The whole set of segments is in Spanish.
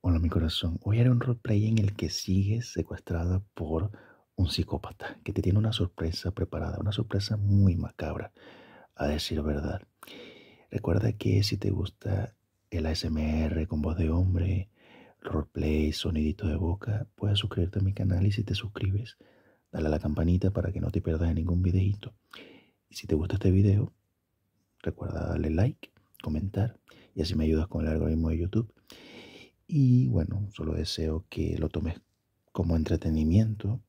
Hola mi corazón, hoy haré un roleplay en el que sigues secuestrada por un psicópata que te tiene una sorpresa preparada, una sorpresa muy macabra, a decir verdad. Recuerda que si te gusta el ASMR con voz de hombre, roleplay, sonidito de boca, puedes suscribirte a mi canal y si te suscribes, dale a la campanita para que no te pierdas ningún videito. Y si te gusta este video, Recuerda darle like, comentar y así me ayudas con el algoritmo de YouTube. Y bueno, solo deseo que lo tomes como entretenimiento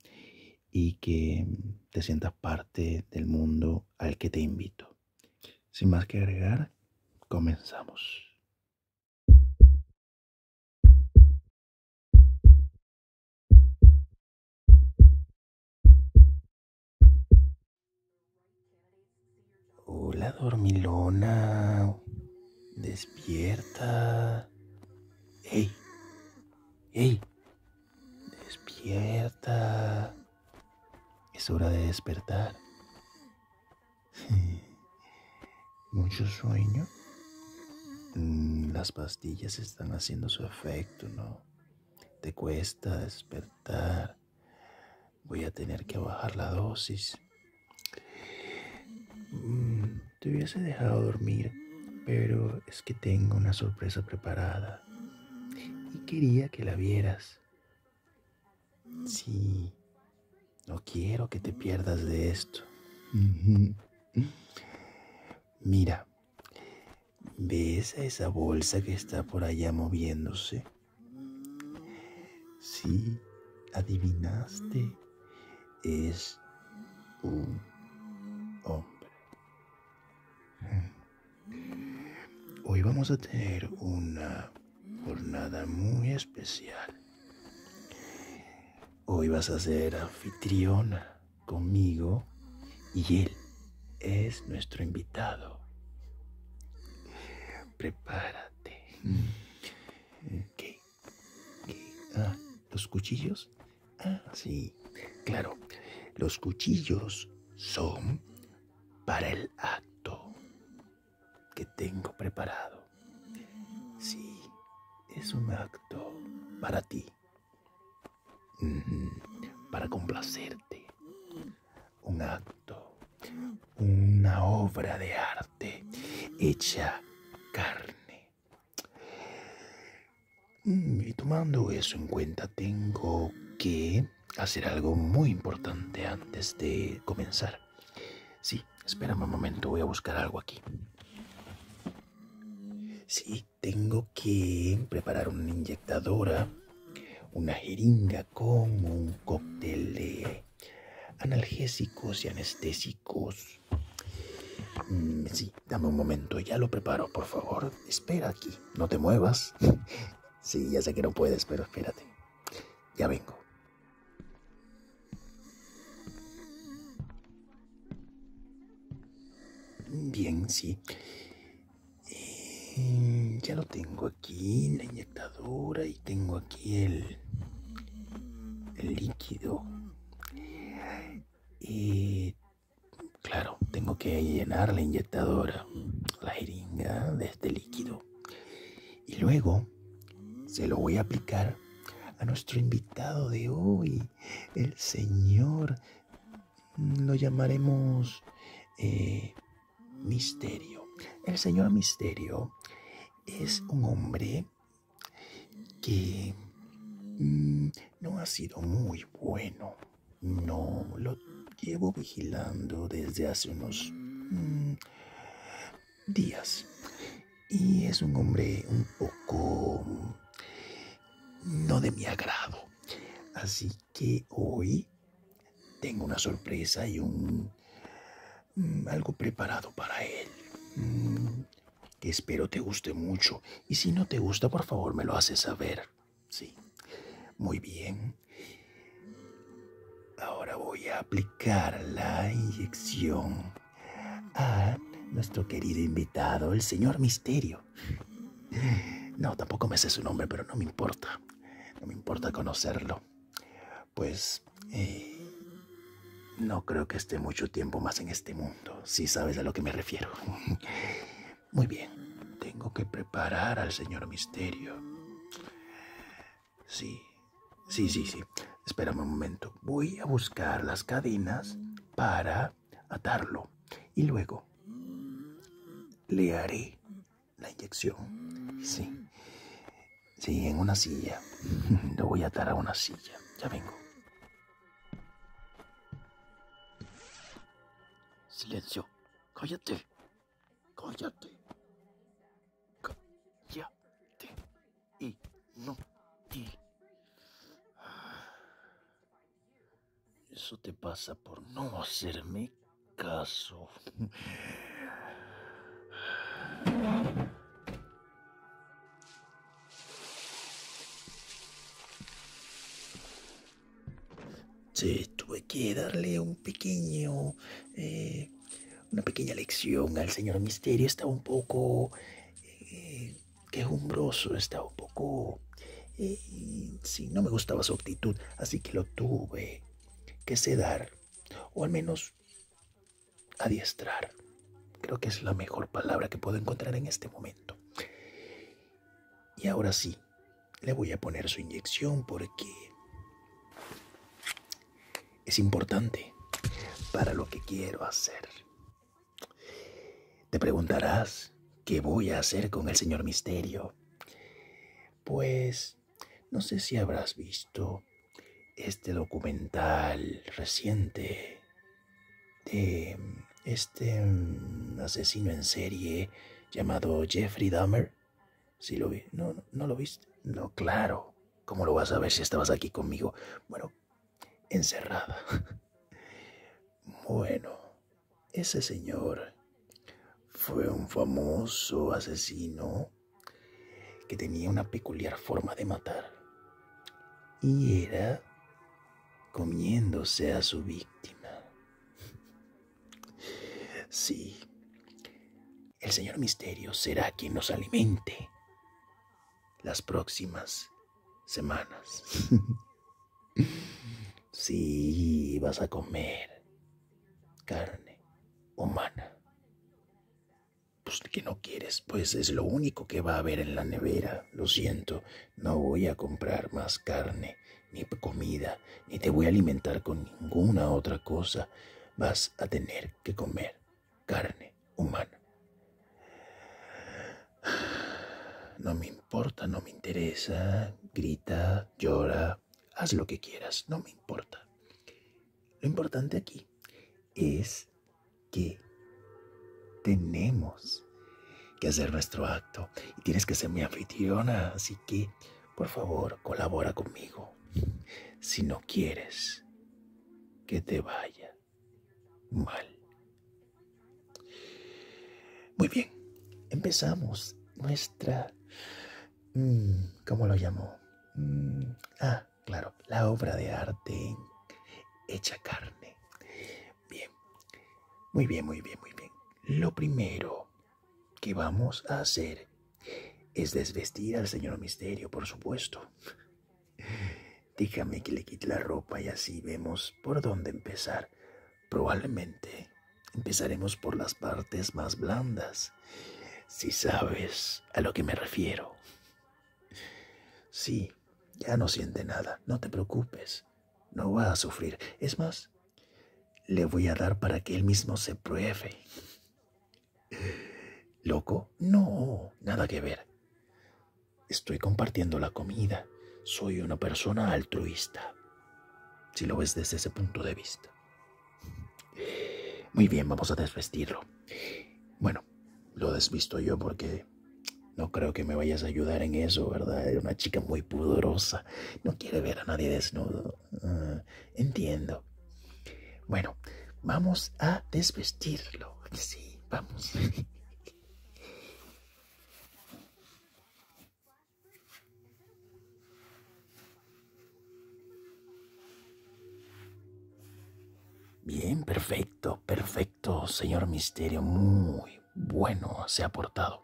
y que te sientas parte del mundo al que te invito. Sin más que agregar, comenzamos. Hola, dormilona. Despierta. ¡Ey! ¡Ey! Despierta. Es hora de despertar. Mucho sueño. Mm, las pastillas están haciendo su efecto, ¿no? Te cuesta despertar. Voy a tener que bajar la dosis. Mm, te hubiese dejado dormir, pero es que tengo una sorpresa preparada. Y quería que la vieras. Sí, no quiero que te pierdas de esto. Mira, ¿Ves a esa bolsa que está por allá moviéndose? Sí, adivinaste. Es un hombre. Hmm. Hoy vamos a tener una jornada muy especial. Hoy vas a ser anfitriona conmigo y él es nuestro invitado. Prepárate. Ah, ¿los cuchillos? Ah, sí, claro. Los cuchillos son para el acto que tengo preparado. Sí, es un acto para ti para complacerte. Un acto, una obra de arte hecha carne. Mm, y tomando eso en cuenta, tengo que hacer algo muy importante antes de comenzar. Sí, espérame un momento, voy a buscar algo aquí. Sí, tengo que preparar una inyectadora, una jeringa con un cóctel de analgésicos y anestésicos. Mm, sí, dame un momento, ya lo preparo, por favor. Espera aquí, no te muevas. sí, ya sé que no puedes, pero espérate. Ya vengo. Bien, sí. Eh, ya lo tengo aquí, la inyectadora, y tengo aquí el, el líquido. Y eh, claro, tengo que llenar la inyectadora, la jeringa de este líquido. Y luego se lo voy a aplicar a nuestro invitado de hoy, el señor lo llamaremos eh, misterio. El señor misterio es un hombre que mm, no ha sido muy bueno. No, lo llevo vigilando desde hace unos mm, días. Y es un hombre un poco no de mi agrado. Así que hoy tengo una sorpresa y un mm, algo preparado para él. Mm, que espero te guste mucho. Y si no te gusta, por favor, me lo haces saber. Sí. Muy bien. Ahora voy a aplicar la inyección a nuestro querido invitado, el señor Misterio. No, tampoco me sé su nombre, pero no me importa. No me importa conocerlo. Pues eh, no creo que esté mucho tiempo más en este mundo, si sabes a lo que me refiero. Muy bien, tengo que preparar al señor Misterio. Sí, sí, sí, sí. Espérame un momento. Voy a buscar las cadenas para atarlo y luego le haré la inyección. Sí, sí, en una silla. Lo voy a atar a una silla. Ya vengo. Silencio. Cállate. Cállate. Cállate. Y no. Y... Eso te pasa por no hacerme caso. Sí, tuve que darle un pequeño, eh, una pequeña lección al señor Misterio. Estaba un poco eh, quejumbroso, está un poco y no me gustaba su actitud, así que lo tuve que sedar, o al menos adiestrar. Creo que es la mejor palabra que puedo encontrar en este momento. Y ahora sí, le voy a poner su inyección porque es importante para lo que quiero hacer. Te preguntarás, ¿qué voy a hacer con el señor misterio? Pues, no sé si habrás visto este documental reciente de este mm, asesino en serie llamado Jeffrey Dahmer. Si lo no, no, no lo viste. No, claro. ¿Cómo lo vas a ver si estabas aquí conmigo? Bueno, encerrada. bueno, ese señor fue un famoso asesino que tenía una peculiar forma de matar y era comiéndose a su víctima. Sí, el señor Misterio será quien nos alimente las próximas semanas. Sí, vas a comer carne humana. Pues que no quieres, pues es lo único que va a haber en la nevera. Lo siento, no voy a comprar más carne, ni comida, ni te voy a alimentar con ninguna otra cosa. Vas a tener que comer carne humana. No me importa, no me interesa, grita, llora, haz lo que quieras, no me importa. Lo importante aquí es que tenemos que hacer nuestro acto y tienes que ser mi anfitriona, así que por favor colabora conmigo. Si no quieres que te vaya mal muy bien, empezamos nuestra... Mm, ¿Cómo lo llamó? Mm, ah, claro, la obra de arte hecha carne. Bien, muy bien, muy bien, muy bien. Lo primero que vamos a hacer es desvestir al señor misterio, por supuesto. Déjame que le quite la ropa y así vemos por dónde empezar. Probablemente empezaremos por las partes más blandas, si sabes a lo que me refiero. Sí, ya no siente nada, no te preocupes, no va a sufrir. Es más, le voy a dar para que él mismo se pruebe. ¿Loco? No, nada que ver. Estoy compartiendo la comida. Soy una persona altruista si lo ves desde ese punto de vista. Muy bien, vamos a desvestirlo. Bueno, lo desvisto yo porque no creo que me vayas a ayudar en eso, ¿verdad? Era una chica muy pudorosa. No quiere ver a nadie desnudo. Ah, entiendo. Bueno, vamos a desvestirlo. Sí, vamos. Bien, perfecto, perfecto, señor Misterio. Muy bueno se ha portado.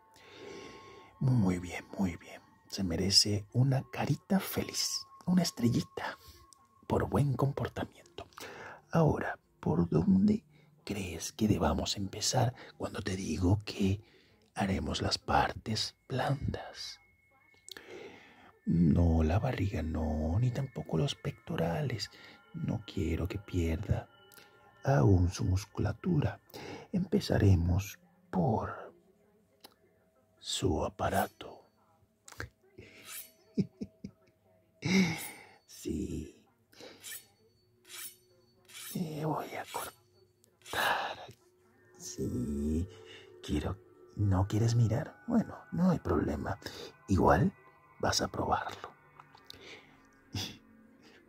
Muy bien, muy bien. Se merece una carita feliz, una estrellita, por buen comportamiento. Ahora, ¿por dónde crees que debamos empezar cuando te digo que haremos las partes blandas? No, la barriga no, ni tampoco los pectorales. No quiero que pierda aún su musculatura. Empezaremos por su aparato. sí, eh, voy a cortar si Quiero. ¿No quieres mirar? Bueno, no hay problema. Igual vas a probarlo.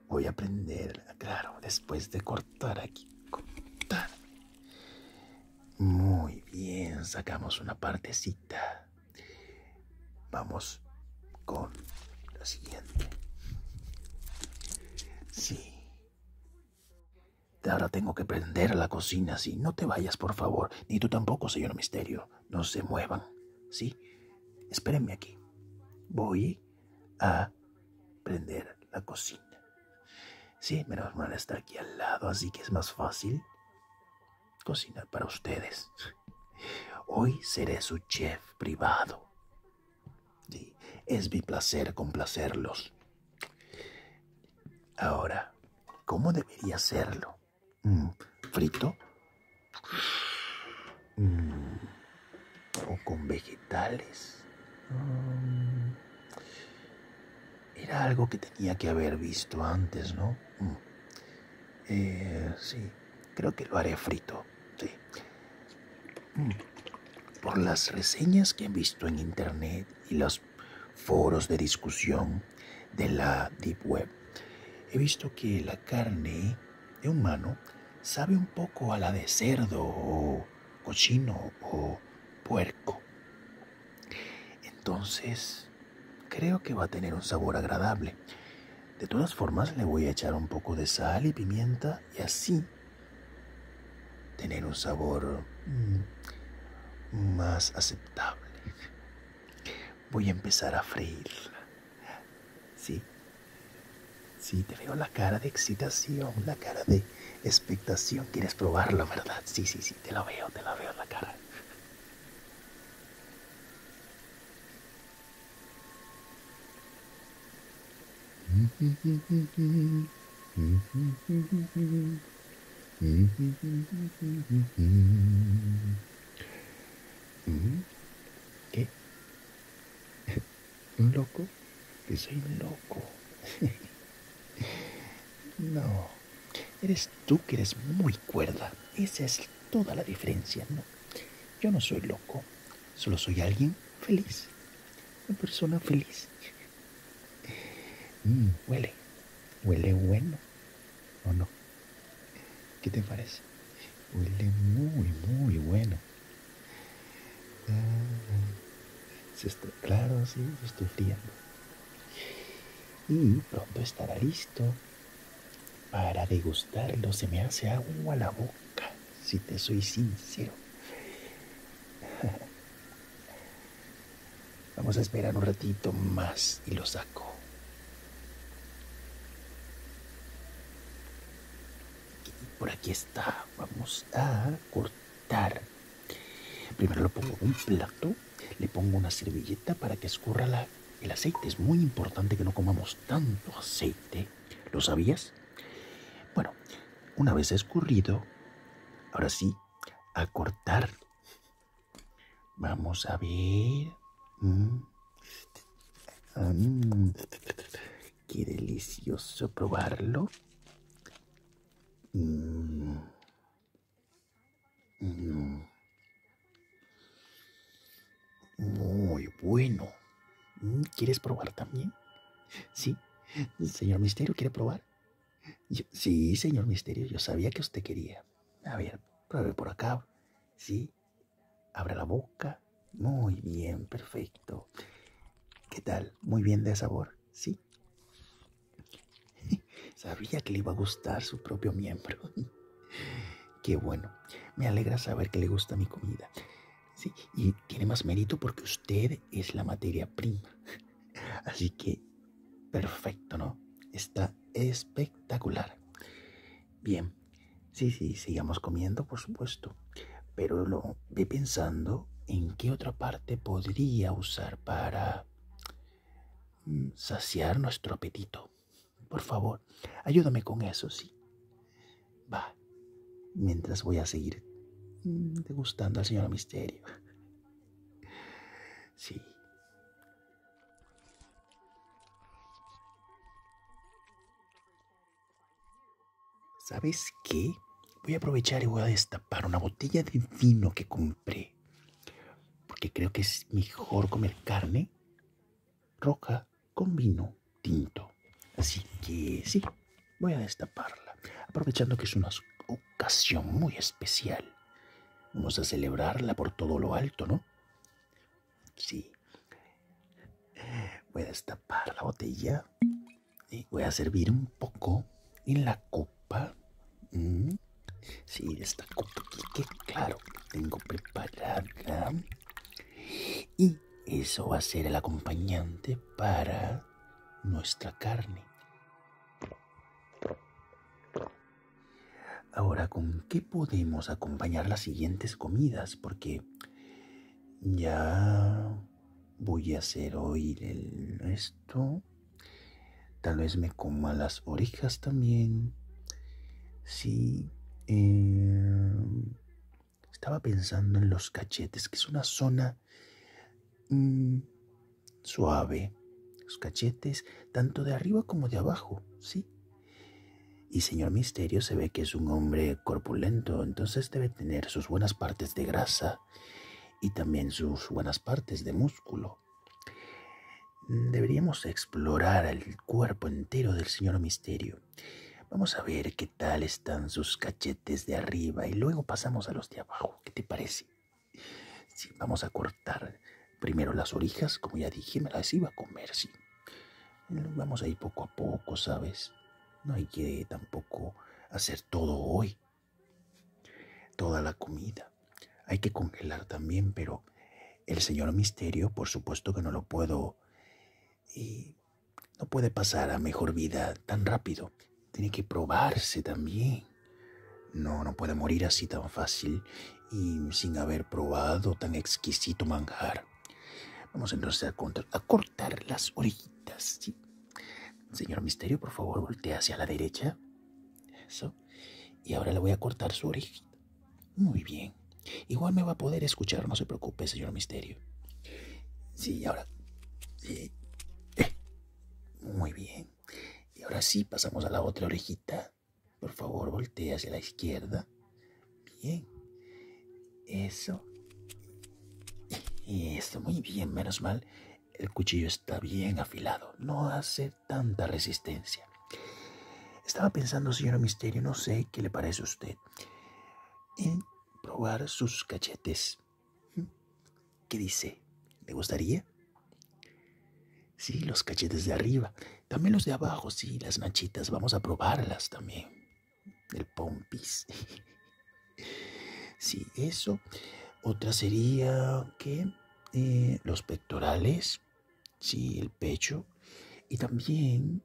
Voy a aprender, claro, después de cortar aquí. Muy bien, sacamos una partecita. Vamos con la siguiente. Sí. Ahora tengo que prender la cocina, sí. No te vayas, por favor. Ni tú tampoco, señor Misterio. No se muevan, sí. Espérenme aquí. Voy a prender la cocina. Sí, menos mal está aquí al lado, así que es más fácil cocinar para ustedes. Hoy seré su chef privado. Sí, es mi placer complacerlos. Ahora, ¿cómo debería hacerlo? Mm, ¿Frito? Mm, ¿O con vegetales? Mm, era algo que tenía que haber visto antes, ¿no? Eh, sí, creo que lo haré frito. Mm. Por las reseñas que he visto en internet y los foros de discusión de la Deep Web, he visto que la carne de humano sabe un poco a la de cerdo o cochino o puerco. Entonces, creo que va a tener un sabor agradable. De todas formas, le voy a echar un poco de sal y pimienta y así tener un sabor mm, más aceptable. Voy a empezar a freírla. Sí, sí, te veo la cara de excitación, la cara de expectación. Quieres probarlo, ¿verdad? Sí, sí, sí, te la veo, te la veo la cara. ¿Qué? loco? Que soy loco. No. Eres tú que eres muy cuerda. Esa es toda la diferencia, ¿no? Yo no soy loco, solo soy alguien feliz, una persona feliz. Mm, huele, huele bueno, ¿o no? ¿Qué te parece? Huele muy, muy bueno. Ah, se está, claro, sí, se estoy friendo Y pronto estará listo para degustarlo se me hace agua la boca, si te soy sincero. Vamos a esperar un ratito más y lo saco. Y por aquí está. Vamos a cortar. Primero lo pongo en un plato, le pongo una servilleta para que escurra la el aceite es muy importante que no comamos tanto aceite. ¿Lo sabías? Bueno, una vez escurrido, ahora sí, a cortar. Vamos a ver. Mm. Mm. Qué delicioso probarlo. Mm. Muy bueno. Mm, ¿Quieres probar también? Sí. Señor Misterio, ¿quiere probar? sí, señor Misterio, yo sabía que usted quería. A ver, pruebe por acá. Sí. Abra la boca. Muy bien, perfecto. ¿Qué tal? Muy bien de sabor. Sí. Sabía que le iba a gustar su propio miembro. Qué bueno. Me alegra saber que le gusta mi comida. Sí, y tiene más mérito porque usted es la materia prima. Así que, perfecto, ¿no? Está espectacular. Bien, sí, sí, sigamos comiendo, por supuesto. Pero lo vi pensando en qué otra parte podría usar para mm, saciar nuestro apetito. Por favor, ayúdame con eso, sí. Va, mientras voy a seguir mm, degustando al señor misterio. Sí. ¿Sabes qué? Voy a aprovechar y voy a destapar una botella de vino que compré. Porque creo que es mejor comer carne Roca con vino tinto. Así que sí, voy a destaparla, aprovechando que es una ocasión muy especial. Vamos a celebrarla por todo lo alto, ¿no? Sí. Voy a destapar la botella y voy a servir un poco en la copa. Mm. Sí, esta copa aquí, que claro, tengo preparada. Y eso va a ser el acompañante para nuestra carne. Ahora, ¿con qué podemos acompañar las siguientes comidas? Porque ya voy a hacer oír el, esto. Tal vez me coma las orejas también. Sí, eh, estaba pensando en los cachetes, que es una zona mm, suave. Los cachetes, tanto de arriba como de abajo, ¿sí? Y señor Misterio se ve que es un hombre corpulento, entonces debe tener sus buenas partes de grasa y también sus buenas partes de músculo deberíamos explorar el cuerpo entero del señor Misterio. Vamos a ver qué tal están sus cachetes de arriba y luego pasamos a los de abajo. ¿Qué te parece? vamos a cortar primero las orejas, como ya dije, me las iba a comer, sí. Vamos a ir poco a poco, ¿sabes? No hay que tampoco hacer todo hoy. Toda la comida. Hay que congelar también, pero el señor Misterio, por supuesto que no lo puedo... no puede pasar a mejor vida tan rápido. Tiene que probarse también. No, no puede morir así tan fácil y sin haber probado tan exquisito manjar. Vamos entonces a, cortar las orejitas. Señor Misterio, por favor, voltea hacia la derecha. Eso. Y ahora le voy a cortar su orejita. Muy bien. Igual me va a poder escuchar, no se preocupe, señor Misterio. Sí, ahora... Eh, muy bien. Y ahora sí, pasamos a la otra orejita. Por favor, voltea hacia la izquierda. Bien. Eso. Y Eso, muy bien, menos mal. El cuchillo está bien afilado, no hace tanta resistencia. Estaba pensando, señora Misterio, no sé qué le parece a usted, en probar sus cachetes. ¿Qué dice? ¿Le gustaría? Sí, los cachetes de arriba. También los de abajo, sí, las manchitas. Vamos a probarlas también. El pompis. Sí, eso. Otra sería que eh, los pectorales sí, el pecho y también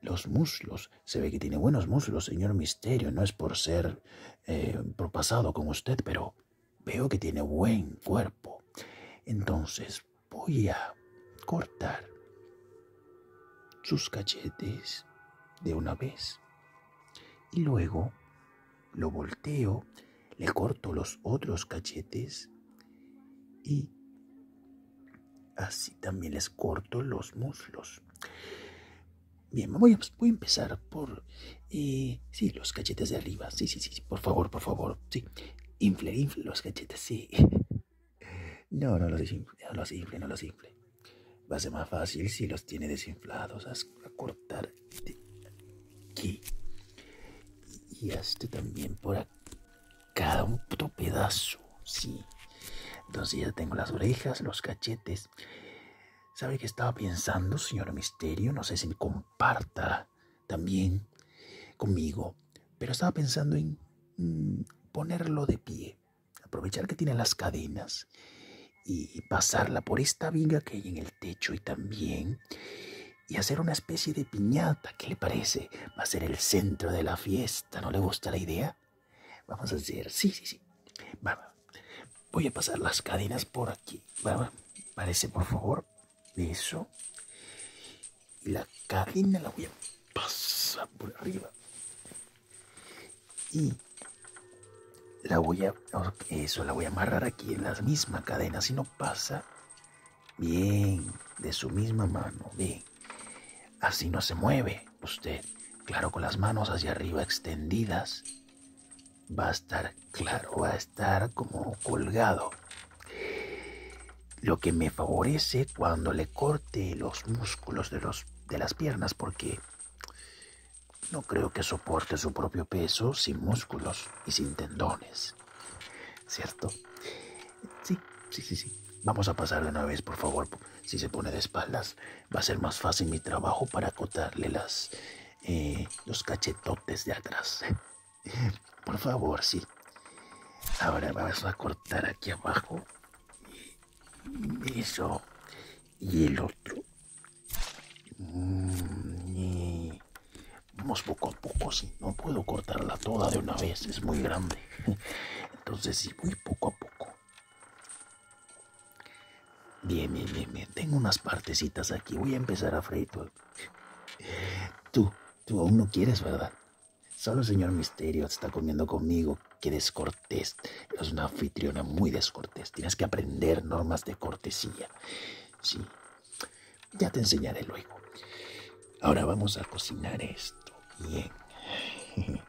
los muslos. Se ve que tiene buenos muslos, señor Misterio. No es por ser eh, propasado con usted, pero veo que tiene buen cuerpo. Entonces voy a cortar sus cachetes de una vez y luego lo volteo le corto los otros cachetes y así también les corto los muslos. Bien, voy a, empezar por... Eh, los cachetes de arriba. Sí, sí, sí, por favor, por favor. Sí, infle, los cachetes, sí. No, no los infle, no los infle, no los Va a ser más fácil si los tiene desinflados. A cortar aquí. Y este también por cada un pedazo, sí. Entonces ya tengo las orejas, los cachetes. ¿Sabe que estaba pensando, señor Misterio? No sé si me comparta también conmigo, pero estaba pensando en mm, ponerlo de pie, aprovechar que tiene las cadenas y pasarla por esta viga que hay en el techo y también y hacer una especie de piñata. ¿Qué le parece? Va a ser el centro de la fiesta. ¿No le gusta la idea? Vamos a hacer, sí, sí, sí. Vamos, Voy a pasar las cadenas por aquí. Parece, por favor. Eso. la cadena la voy a pasar por arriba. Y la voy a, eso, la voy a amarrar aquí en la misma cadena, Si no pasa, Bien, de su misma mano, bien. Así no se mueve usted. Claro, con las manos hacia arriba extendidas, va a estar claro, va a estar como colgado. Lo que me favorece cuando le corte los músculos de, de las piernas, porque no creo que soporte su propio peso sin músculos y sin tendones. ¿Cierto? Sí, sí, sí, sí. Vamos a pasar de una vez, por favor. Si se pone de espaldas, va a ser más fácil mi trabajo para acotarle las, eh, los cachetotes de atrás. Por favor, sí. Ahora vamos a cortar aquí abajo. Eso. Y el otro. Mm, Vamos poco a poco, sí. No puedo cortarla toda de una vez, es muy grande. Entonces sí, voy poco a poco. Bien, bien, bien, bien. Tengo unas partecitas aquí. Voy a empezar a freír Tú, tú aún no quieres, ¿verdad? Solo el señor Misterio está comiendo conmigo. Qué descortés. Es una anfitriona muy descortés. Tienes que aprender normas de cortesía. Sí, ya te enseñaré luego. Ahora vamos a cocinar esto bien.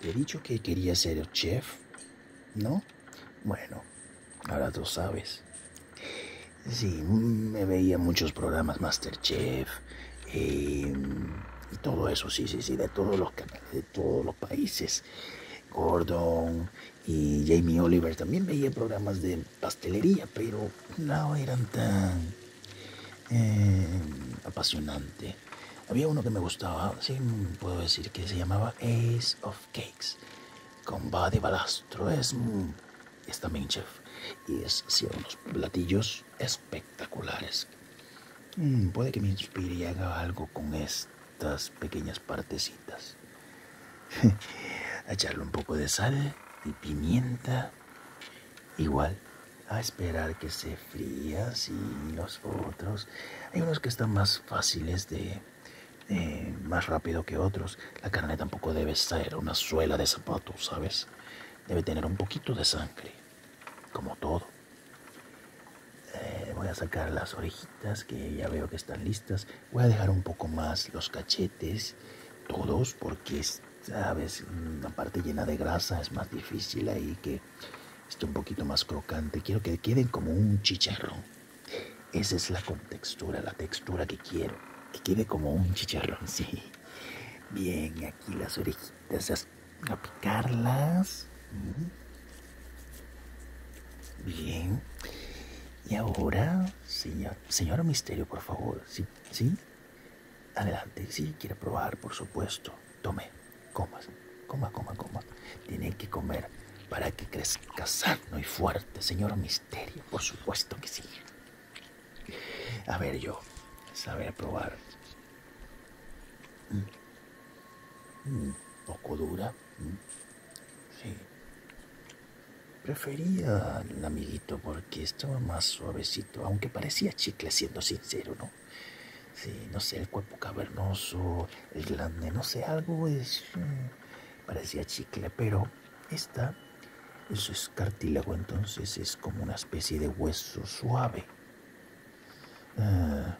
Te he dicho que quería ser chef, ¿no? Bueno, ahora tú sabes. Sí, me veía muchos programas Master Chef eh, y todo eso, sí, sí, sí, de todos los canales, todos los países. Gordon y Jamie Oliver también veía programas de pastelería, pero no eran tan eh, apasionantes. Había uno que me gustaba, sí, puedo decir que se llamaba Ace of Cakes, con Buddy Balastro. Es, también chef y es, sí, unos platillos espectaculares. Mm, puede que me inspire y haga algo con estas pequeñas partecitas. echarle un poco de sal y pimienta. Igual, a esperar que se fría, así los otros. Hay unos que están más fáciles de, más rápido que otros. La carne tampoco debe ser una suela de zapatos, ¿sabes? Debe tener un poquito de sangre como todo. Eh, voy a sacar las orejitas que ya veo que están listas. Voy a dejar un poco más los cachetes, todos, porque sabes, una parte llena de grasa es más difícil ahí que esté un poquito más crocante. Quiero que queden como un chicharrón. Esa es la textura, la textura que quiero. Que quede como un chicharrón, sí. Bien, aquí las orejitas a picarlas. Bien. Y ahora, señor, señor Misterio, por favor, ¿sí? ¿Sí? Adelante, si sí, quiere probar, por supuesto. Tome, Coma, coma, coma, coma. Tiene que comer para que crezca sano y fuerte, señor Misterio, por supuesto que sí. A ver, yo, saber probar. Mm. Un poco dura. Mm. Sí. Prefería un amiguito porque estaba más suavecito, aunque parecía chicle, siendo sincero, ¿no? Sí, no sé, el cuerpo cavernoso, el glande, no sé, algo es. Mm, parecía chicle, pero esta, eso es cartílago, entonces es como una especie de hueso suave. Ah.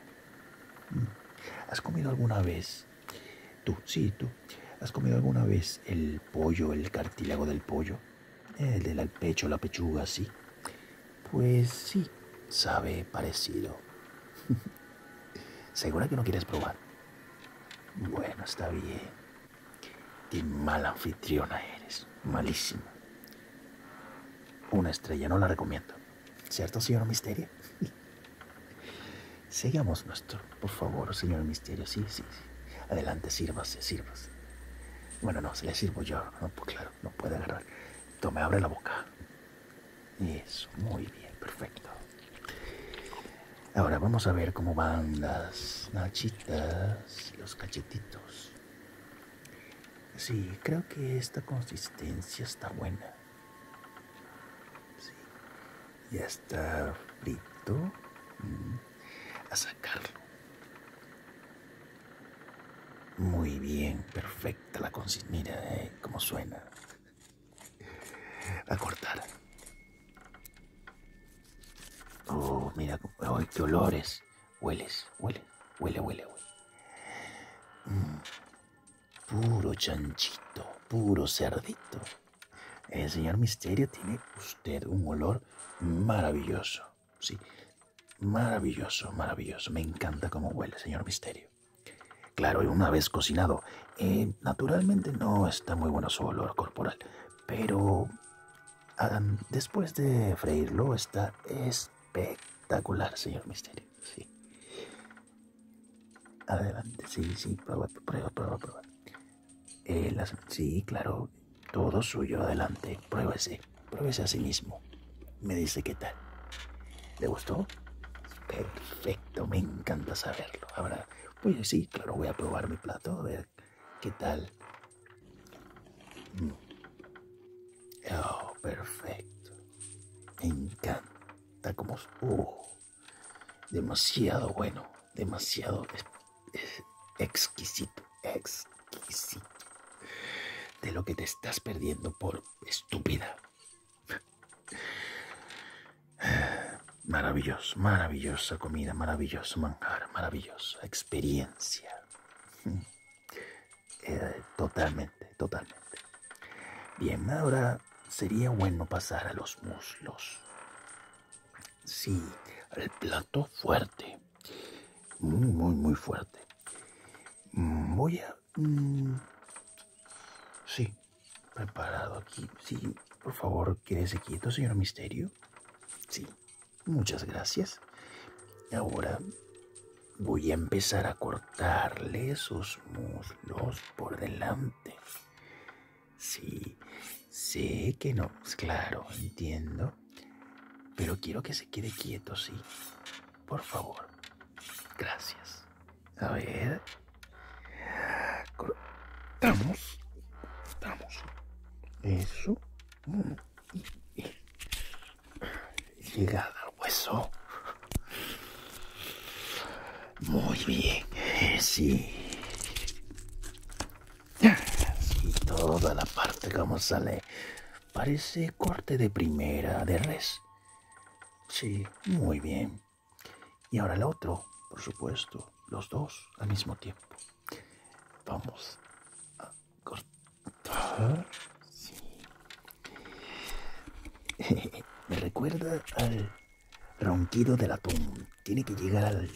¿Has comido alguna vez? Tú, sí, tú. ¿Has comido alguna vez el pollo, el cartílago del pollo? El del pecho, la pechuga, sí. Pues sí, sabe parecido. ¿Segura que no quieres probar? Bueno, está bien. Qué mala anfitriona eres. malísimo Una estrella, no la recomiendo. ¿Cierto, señor Misterio? Sigamos nuestro, por favor, señor Misterio. Sí, sí, sí. Adelante, sírvase, sírvase. Bueno, no, se le sirvo yo. No, pues claro, no puede agarrar. Tome, abre la boca. Eso, muy bien, perfecto. Ahora vamos a ver cómo van las nachitas, los cachetitos. Sí, creo que esta consistencia está buena. Ya está frito. Mm. A sacarlo. Muy bien, perfecta la consistencia. Mira, eh, cómo suena. A cortar. Oh, mira, qué olores. Hueles, huele, huele, huele, huele. Mm, puro chanchito, puro cerdito. El señor Misterio tiene usted un olor maravilloso. Sí, maravilloso, maravilloso. Me encanta cómo huele, señor Misterio. Claro, y una vez cocinado, eh, naturalmente no está muy bueno su olor corporal, pero ah, después de freírlo está es espectacular, señor Misterio. Sí. Adelante, sí, sí, prueba, prueba, prueba, prueba. Eh, sí, claro, todo suyo, adelante, pruébese, pruébese a sí mismo. Me dice qué tal. ¿Le gustó? Perfecto, me encanta saberlo. Ahora, pues sí, claro, voy a probar mi plato, a ver qué tal. Mm. Oh, perfecto. Me encanta como... Uh, demasiado bueno, demasiado exquisito, exquisito. De lo que te estás perdiendo por estúpida. Maravilloso, maravillosa comida, maravilloso manjar, maravillosa experiencia. Eh, totalmente, totalmente. Bien, ahora sería bueno pasar a los muslos. Sí, al plato fuerte. Muy, muy, muy fuerte. Voy a... Mm, sí, preparado aquí. Sí, por favor, quédese quieto, señor Misterio. Sí, muchas gracias. Ahora Voy a empezar a cortarle sus muslos por delante. Sí, sé que no, claro, entiendo. Pero quiero que se quede quieto, sí. Por favor. Gracias. A ver. Cortamos. Cortamos. Eso. Mm llegada al hueso. Muy bien, eh, sí. Y toda la parte como sale. Parece corte de primera de res. Sí, muy bien. Y ahora el otro, por supuesto, los dos al mismo tiempo. Vamos a cortar. Me recuerda al ronquido del atún. Tiene que llegar al,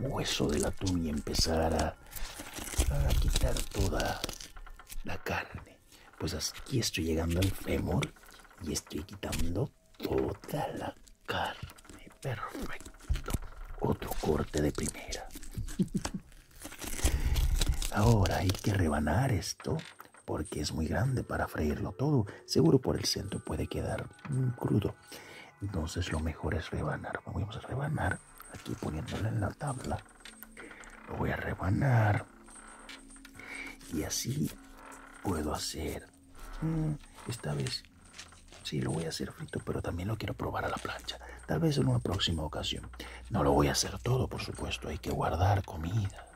hueso del atún y empezar a, quitar toda la carne. Pues aquí estoy llegando al fémur y estoy quitando toda la carne. Perfecto. Otro corte de primera. Ahora hay que rebanar esto porque es muy grande para freírlo todo. Seguro por el centro puede quedar mm, crudo. Entonces lo mejor es rebanar. Vamos a rebanar aquí poniéndolo en la tabla. Lo voy a rebanar. Y así puedo hacer. Mm, esta vez sí lo voy a hacer frito, pero también lo quiero probar a la plancha. Tal vez en una próxima ocasión. No lo voy a hacer todo, por supuesto. Hay que guardar comida.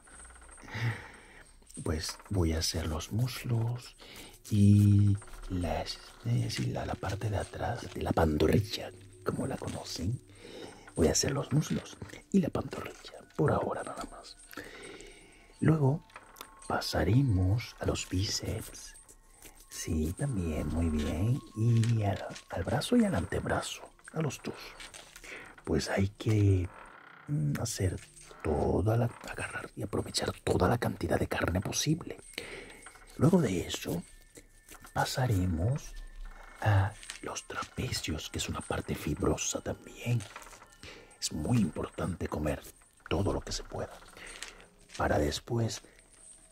Pues voy a hacer los muslos y eh, la, parte de atrás de la pantorrilla, como la conocen. Voy a hacer los muslos y la pantorrilla, por ahora nada más. Luego pasaremos a los bíceps Sí, también, muy bien. Y al, brazo y al antebrazo, a los dos. Pues hay que mm, hacer toda la... agarrar y aprovechar toda la cantidad de carne posible. Luego de eso, pasaremos a los trapecios, que es una parte fibrosa también. Es muy importante comer todo lo que se pueda. Para después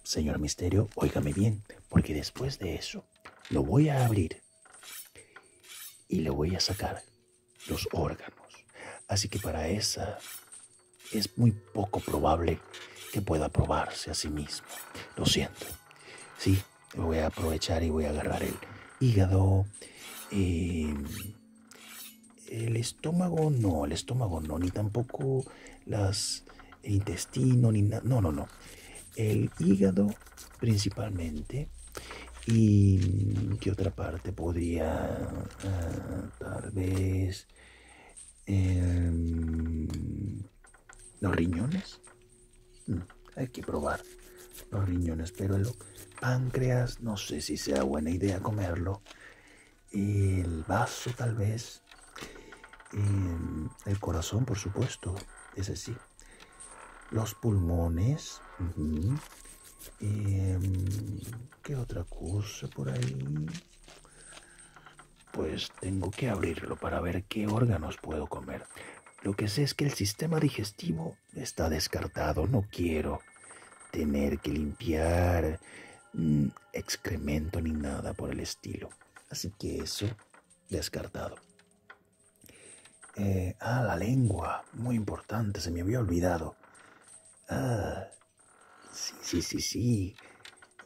Señor Misterio, óigame bien, porque después de eso lo voy a abrir y le voy a sacar los órganos. Así que para esa es muy poco probable que pueda probarse a sí mismo. Lo siento. Sí, lo voy a aprovechar y voy a agarrar el hígado. Em, el estómago no, el estómago no, ni tampoco las el intestino, ni No, no, no. El hígado principalmente. ¿Y qué otra parte podría? Ah, tal vez... Em, los riñones. Mm, hay que probar los riñones, pero el páncreas no sé si sea buena idea comerlo. El vaso tal vez Mm, el corazón, por supuesto, ese sí, Los pulmones. Em, ¿Qué otra cosa por ahí? Pues tengo que abrirlo para ver qué órganos puedo comer. Lo que sé es que el sistema digestivo está descartado. No quiero tener que limpiar mm, excremento ni nada por el estilo. Así que eso, descartado. Eh, ah, la lengua, muy importante, se me había olvidado. Ah, sí, sí, sí, sí.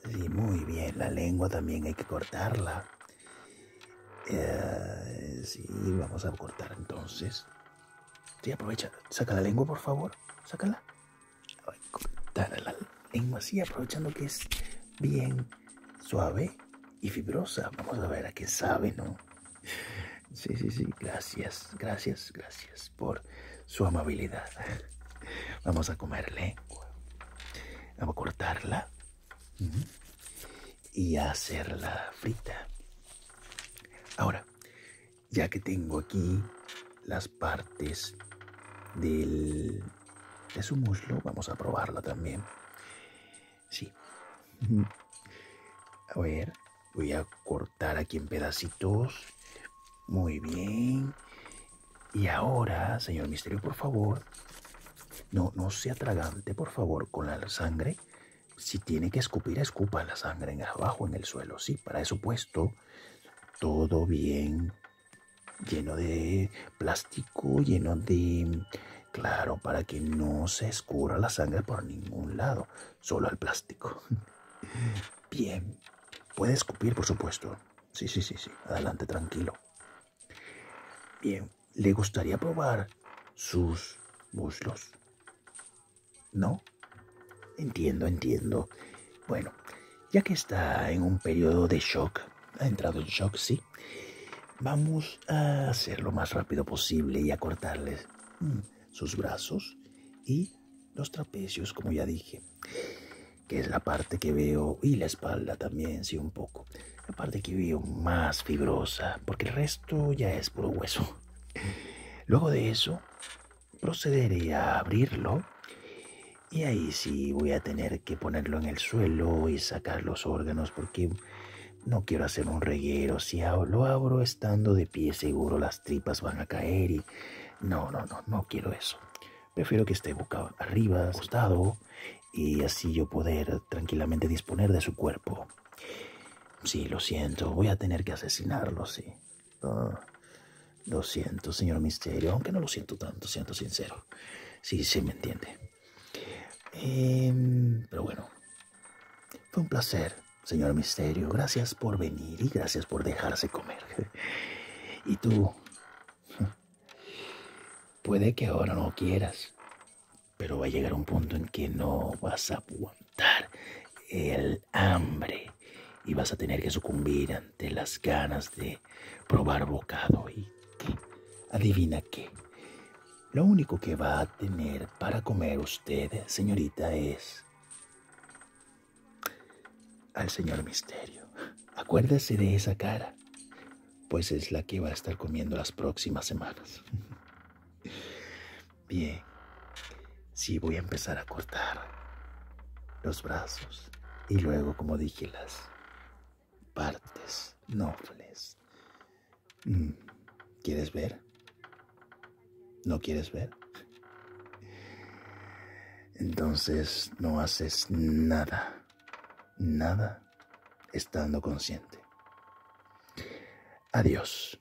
Sí, muy bien, la lengua también hay que cortarla. Eh, sí, vamos a cortar entonces. Sí, aprovecha, saca la lengua, por favor. Sácala, cortar la lengua así, aprovechando que es bien suave y fibrosa. Vamos a ver a qué sabe, ¿no? Sí, sí, sí. Gracias, gracias, gracias por su amabilidad. Vamos a comer lengua. Vamos a cortarla y a hacerla frita. Ahora, ya que tengo aquí las partes del es un muslo. Vamos a probarla también. Sí. A ver, voy a cortar aquí en pedacitos. Muy bien. Y ahora, señor misterio, por favor, no, no sea tragante, por favor, con la sangre. Si tiene que escupir, escupa la sangre en abajo, en el suelo, sí, para eso puesto. Todo bien, lleno de plástico, lleno de... Claro, para que no se escurra la sangre por ningún lado, solo al plástico. Bien, puede escupir, por supuesto. Sí, sí, sí, sí, adelante, tranquilo. Bien, ¿le gustaría probar sus muslos? ¿No? Entiendo, entiendo. Bueno, ya que está en un periodo de shock, ha entrado en shock, sí, vamos a hacer lo más rápido posible y a cortarles mm, sus brazos y los trapecios, como ya dije, que es la parte que veo, y la espalda también, sí, un poco, la parte que veo más fibrosa, porque el resto ya es puro hueso. Luego de eso, procederé a abrirlo y ahí sí voy a tener que ponerlo en el suelo y sacar los órganos porque no quiero hacer un reguero. Si lo abro estando de pie seguro las tripas van a caer y no, no, no, no quiero eso. Prefiero que esté boca arriba, acostado y así yo poder tranquilamente disponer de su cuerpo. Sí, lo siento, voy a tener que asesinarlo, sí. Ah, lo siento, señor Misterio, aunque no lo siento tanto, siento sincero. Sí, sí, me entiende. Em, pero bueno, fue un placer, señor Misterio. Gracias por venir y gracias por dejarse comer. Y tú, puede que ahora no quieras, pero va a llegar un punto en que no vas a aguantar el hambre y vas a tener que sucumbir ante las ganas de probar bocado. ¿Y Adivina qué. Lo único que va a tener para comer usted, señorita, es al señor Misterio. Acuérdese de esa cara, pues es la que va a estar comiendo las próximas semanas. Bien, sí voy a empezar a cortar los brazos y luego, como dije, las partes nobles. Mm, ¿Quieres ver? ¿No quieres ver? Entonces no haces nada, nada estando consciente. Adiós.